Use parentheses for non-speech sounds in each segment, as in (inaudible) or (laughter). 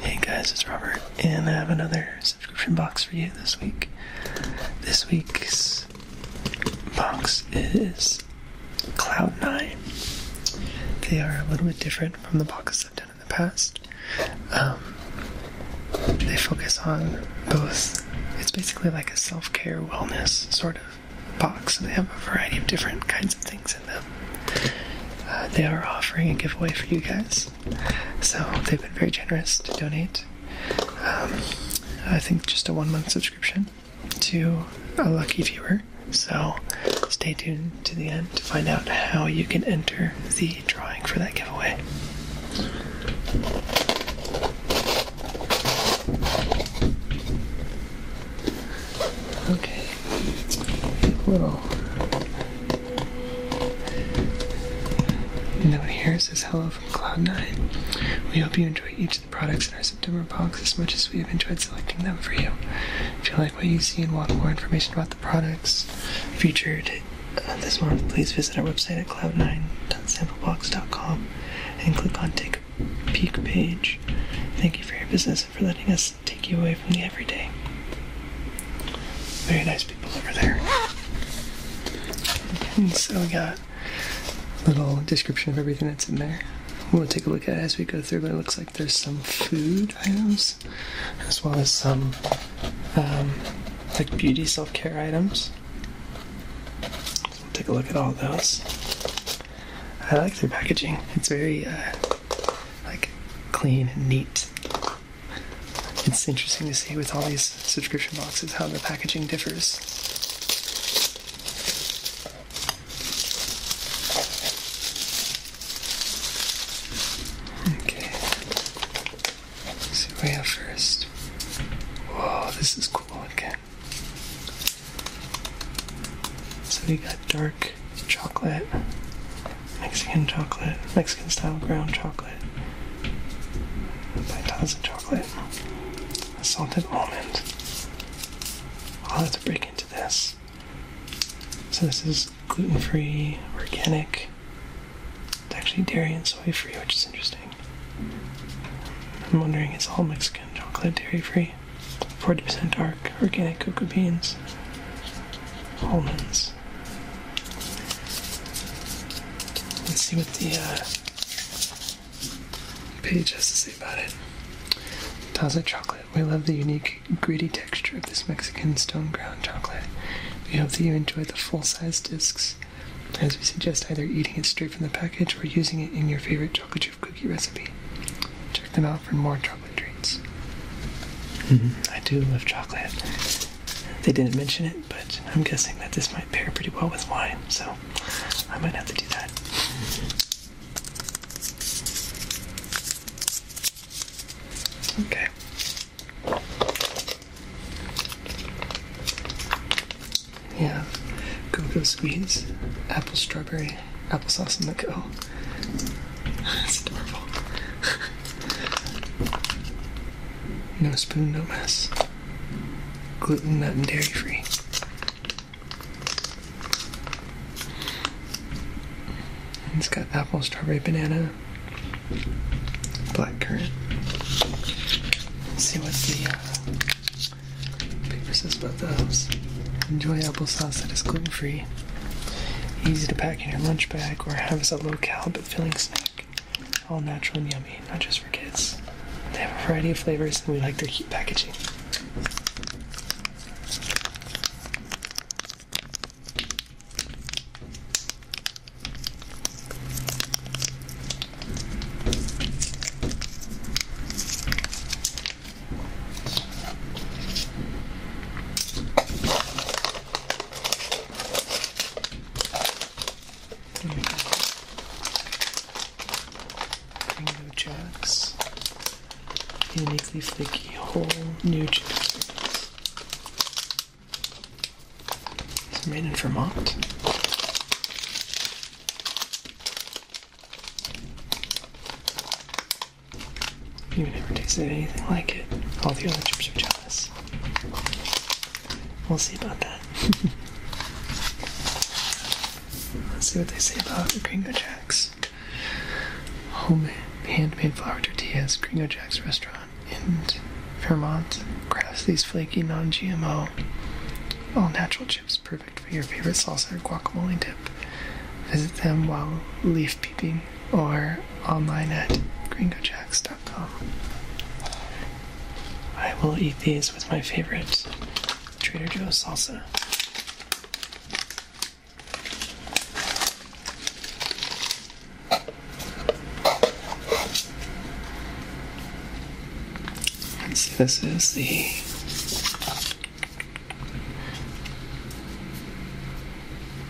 Hey guys, it's Robert, and I have another subscription box for you this week. This week's box is Cloud9. They are a little bit different from the boxes I've done in the past. Um, they focus on both, it's basically like a self care wellness sort of box. So they have a variety of different kinds of things them. Uh, they are offering a giveaway for you guys, so they've been very generous to donate. Um, I think just a one month subscription to a lucky viewer. So stay tuned to the end to find out how you can enter the drawing for that giveaway. Okay. Well, and note here says hello from Cloud9. We hope you enjoy each of the products in our September box as much as we have enjoyed selecting them for you. If you like what you see and want more information about the products featured uh, this month, please visit our website at cloud9.samplebox.com and click on Take a Peek page. Thank you for your business and for letting us take you away from the everyday. Very nice people over there. And so we got a little description of everything that's in there. We'll take a look at as we go through, but it looks like there's some food items as well as some um, like beauty self care items. take a look at all those. I like their packaging. It's very uh, like clean and neat. It's interesting to see with all these subscription boxes how the packaging differs. Okay. see what we have first. Whoa, this is cool. Okay. So we got dark chocolate, Mexican chocolate, Mexican style ground chocolate, paitaza chocolate, salted almond. I'll have to break into this. So this is gluten-free, organic. It's actually dairy and soy-free, which is interesting. I'm wondering, is all Mexican chocolate dairy-free? 40% dark organic cocoa beans, almonds. Let's see what the uh, page has to say about it. Taza chocolate. We love the unique, gritty texture of this Mexican stone ground chocolate. We hope that you enjoy the full size discs, as we suggest either eating it straight from the package or using it in your favorite chocolatier cookie recipe. Check them out for more chocolate treats. Mm-hmm. I do love chocolate. They didn't mention it, but I'm guessing that this might pair pretty well with wine, so I might have to do that. Okay. Yeah, go squeeze, apple strawberry, applesauce in the go. (laughs) no spoon, no mess. Gluten, nut, and dairy free. It's got apple, strawberry, banana, blackcurrant. Let's see what the uh, Paper says about house. Enjoy applesauce that is gluten free. Easy to pack in your lunch bag or have as a low cal but filling snack. All natural and yummy, not just for kids. They have a variety of flavors and we like their cute packaging. Mango Jacks. Uniquely flaky whole new chips. It's made in Vermont. You've never tasted anything like it. All the other chips are jealous. We'll see about that. (laughs) Let's see what they say about Gringo Jack's. Homemade, handmade flour tortillas. Gringo Jack's restaurant and Vermont crafts these flaky, non-GMO, all-natural chips perfect for your favorite salsa or guacamole dip. Visit them while leaf peeping or online at gringojacks.com. I will eat these with my favorite Trader Joe's salsa this is the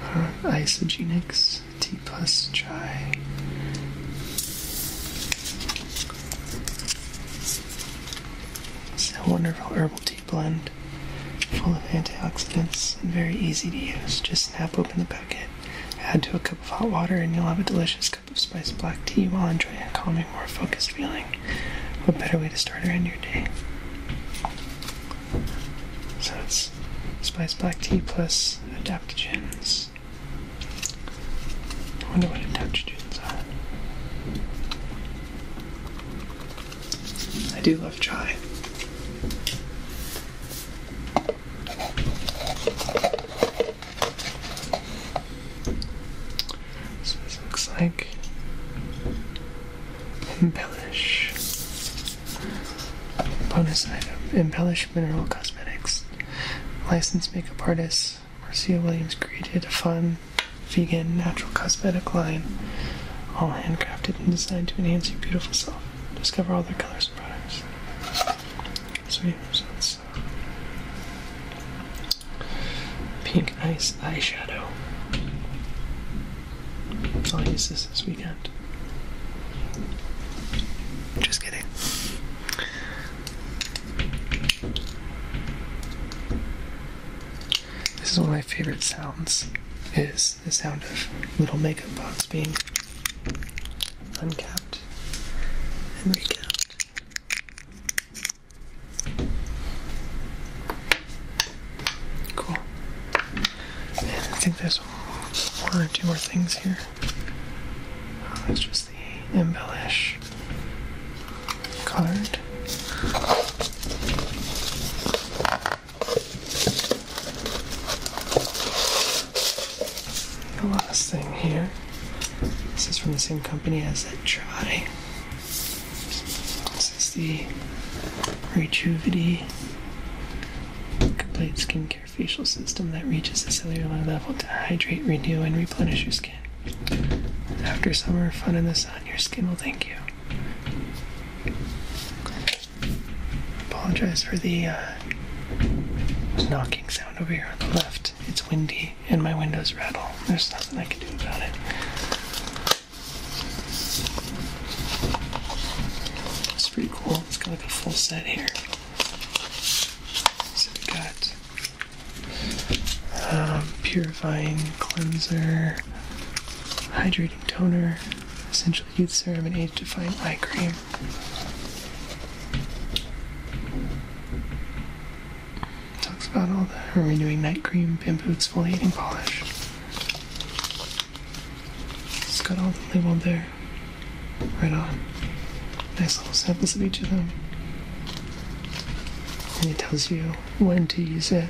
uh, isogenics T plus chi. It's a wonderful herbal tea blend, full of antioxidants and very easy to use. Just snap open the packet, add to a cup of hot water, and you'll have a delicious cup of spiced black tea while enjoying a calming, more focused feeling. What better way to start or end your day? So it's spiced black tea plus adaptogens. I wonder what adaptogens are. I do love chai. So this looks like embellish. Bonus item: embellish mineral cosmetics. Licensed makeup artist Marcia Williams created a fun, vegan, natural cosmetic line, all handcrafted and designed to enhance your beautiful self. Discover all their colors and products. So, yeah, Pink Ice Eyeshadow. I'll use this this weekend. Just kidding. This is one of my favorite sounds. Is the sound of little makeup box being uncapped and recapped Cool. And I think there's one or two more things here. Oh, that's just the embellish card. The last thing here this is from the same company as that try. This is the Retrovity complete skincare facial system that reaches the cellular level to hydrate, renew, and replenish your skin. After summer fun in the sun, your skin will thank you. Apologize for the uh, knocking sound over here on the left. It's windy and my windows rattle. There's nothing I can do about it. It's pretty cool. It's got like a full set here. So we got um, purifying cleanser, hydrating toner, essential youth serum, and age-defying eye cream. Talks about all the renewing night cream, bamboo exfoliating polish. It's got all the label there. Right on. Nice little samples of each of them. And it tells you when to use it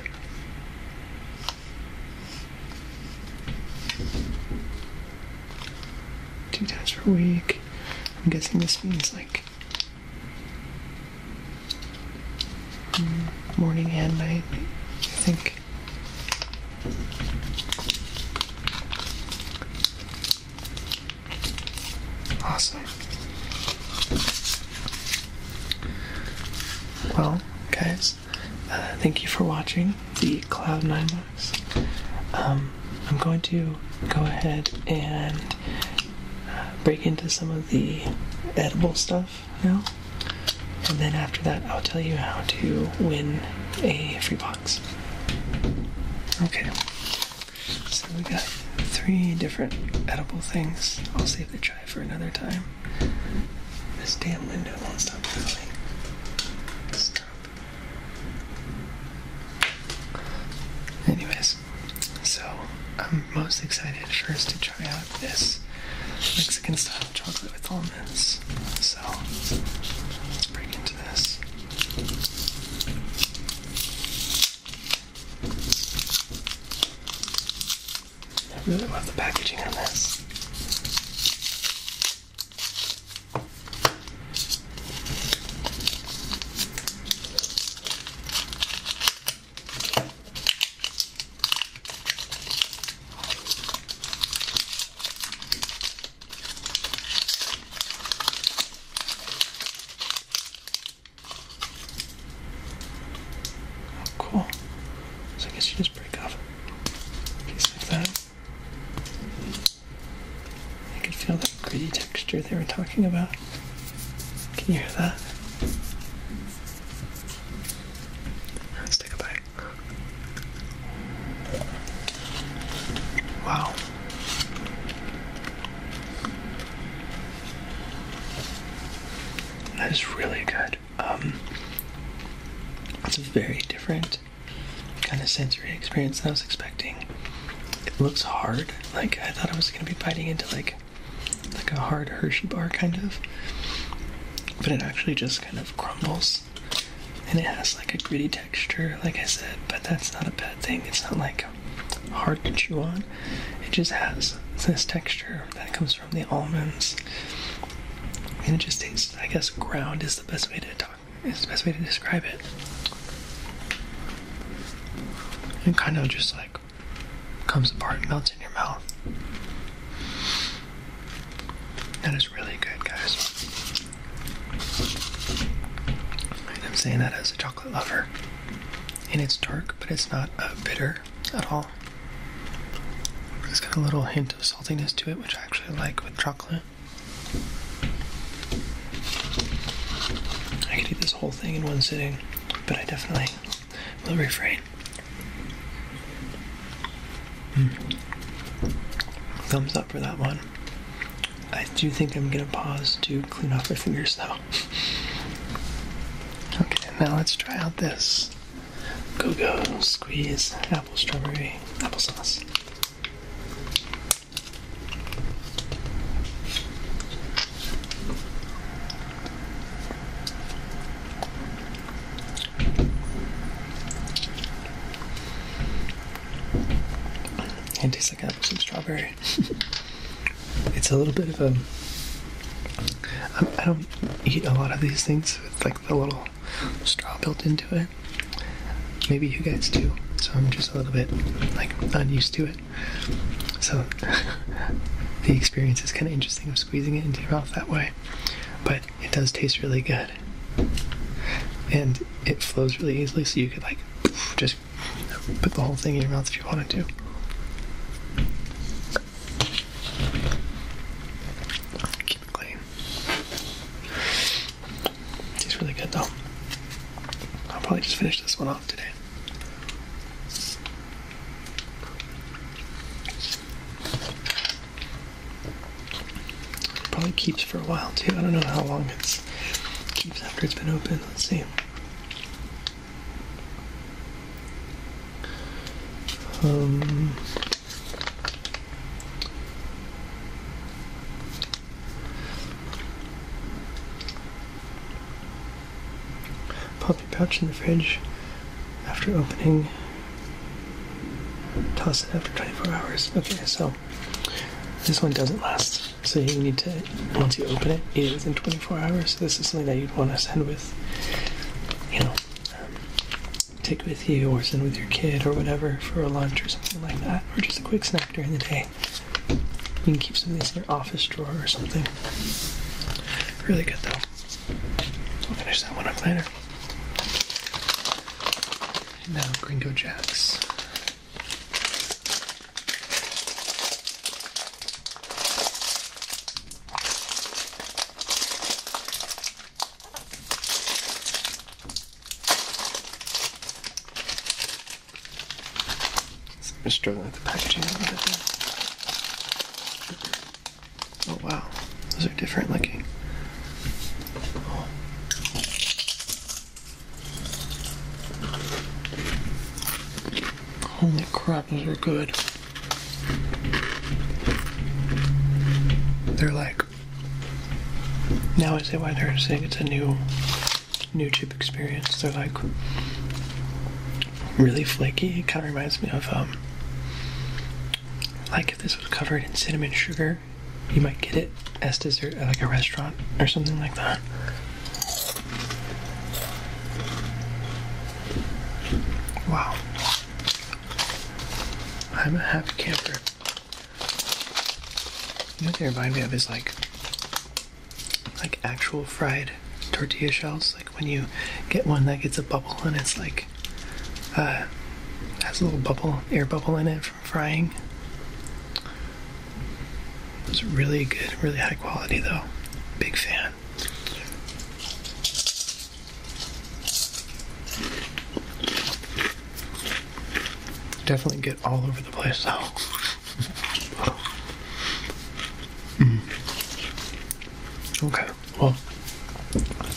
two times per week. I'm guessing this means like morning and night, I think. Awesome. Well, guys, uh, thank you for watching the Cloud9 um, I'm going to go ahead and uh, break into some of the edible stuff now. And then after that, I'll tell you how to win a free box. Okay. So we got three different edible things. I'll save the try for another time. This damn window won't stop moving. Stop Anyways, so I'm most excited first to try out this Mexican style chocolate with almonds. So let's break into this. I really love the packaging on this. Oh, cool. So I guess you just break off a piece like that. I can feel that gritty texture they were talking about. Can you hear that? Let's take a bite. Wow. That is really good. Um, it's very different kind of sensory experience than I was expecting. It looks hard. Like I thought I was gonna be biting into like like a hard Hershey bar kind of. But it actually just kind of crumbles. And it has like a gritty texture, like I said, but that's not a bad thing. It's not like hard to chew on. It just has this texture that comes from the almonds. And it just tastes I guess ground is the. It's the best way to describe it. It kind of just like comes apart and melts in your mouth. That is really good, guys. I'm saying that as a chocolate lover. And it's dark, but it's not uh, bitter at all. It's got a little hint hint saltiness to it, which I actually like with chocolate. I could eat this whole thing in one sitting, but I definitely will refrain. Hmm. Thumbs up for that one. I do think I'm gonna pause to clean off my fingers though. (laughs) okay, now let's try out this. Go go squeeze apple strawberry applesauce. It tastes like apple and strawberry. (laughs) it's a little bit of a. I don't eat a lot of these things with like the little straw built into it. Maybe you guys do. So I'm just a little bit like unused to it. So (laughs) the experience is kind of interesting I'm squeezing it into your mouth that way. But it does taste really good. And it flows really easily, so you could like just put the whole thing in your mouth if you wanted to. It's really good though. I'll probably just finish this one off today. It probably keeps for a while too. I don't know how long it keeps after it's been open. Let's see. Um, Pop your pouch in the fridge after opening. Toss it after 24 hours. Okay, so this one doesn't last. So you need to, once you open it, eat it within 24 hours. This is something that you'd want to send with, you know, um, take with you or send with your kid or whatever for a lunch or something like that, or just a quick snack during the day. You can keep some of these in your office drawer or something. Really good though. I'll finish that one up later. And now Gringo Jacks. I'm just struggling with the packaging Oh wow, those are different looking. Holy crap, those are good. They're like now I say why they're saying it's a new new chip experience. They're like really flaky. It kind of reminds me of um, like if this was covered in cinnamon sugar, you might get it as dessert at like a restaurant or something like that. Wow. I'm a happy camper. what they remind me of is like like actual fried tortilla shells. Like when you get one that gets a bubble and it's like uh has a little bubble, air bubble in it from frying. It's really good, really high quality though. Big fan. Definitely get all over the place though. Mm. Okay, well,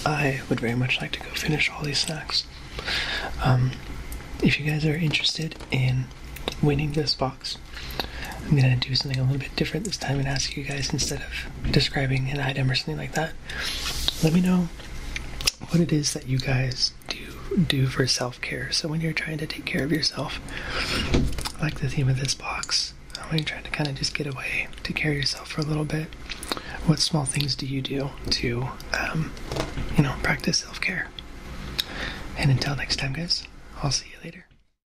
I would very much like to go finish all these snacks. Um, if you guys are interested in winning this box, I'm gonna do something a little bit different this time and ask you guys instead of describing an item or something like that, let me know what it is that you guys do do for self-care. So when you're trying to take care of yourself, I like the theme of this box, when you're trying to kind of just get away, to care of yourself for a little bit, what small things do you do to, um, you know, practice self-care? And until next time, guys, I'll see you later.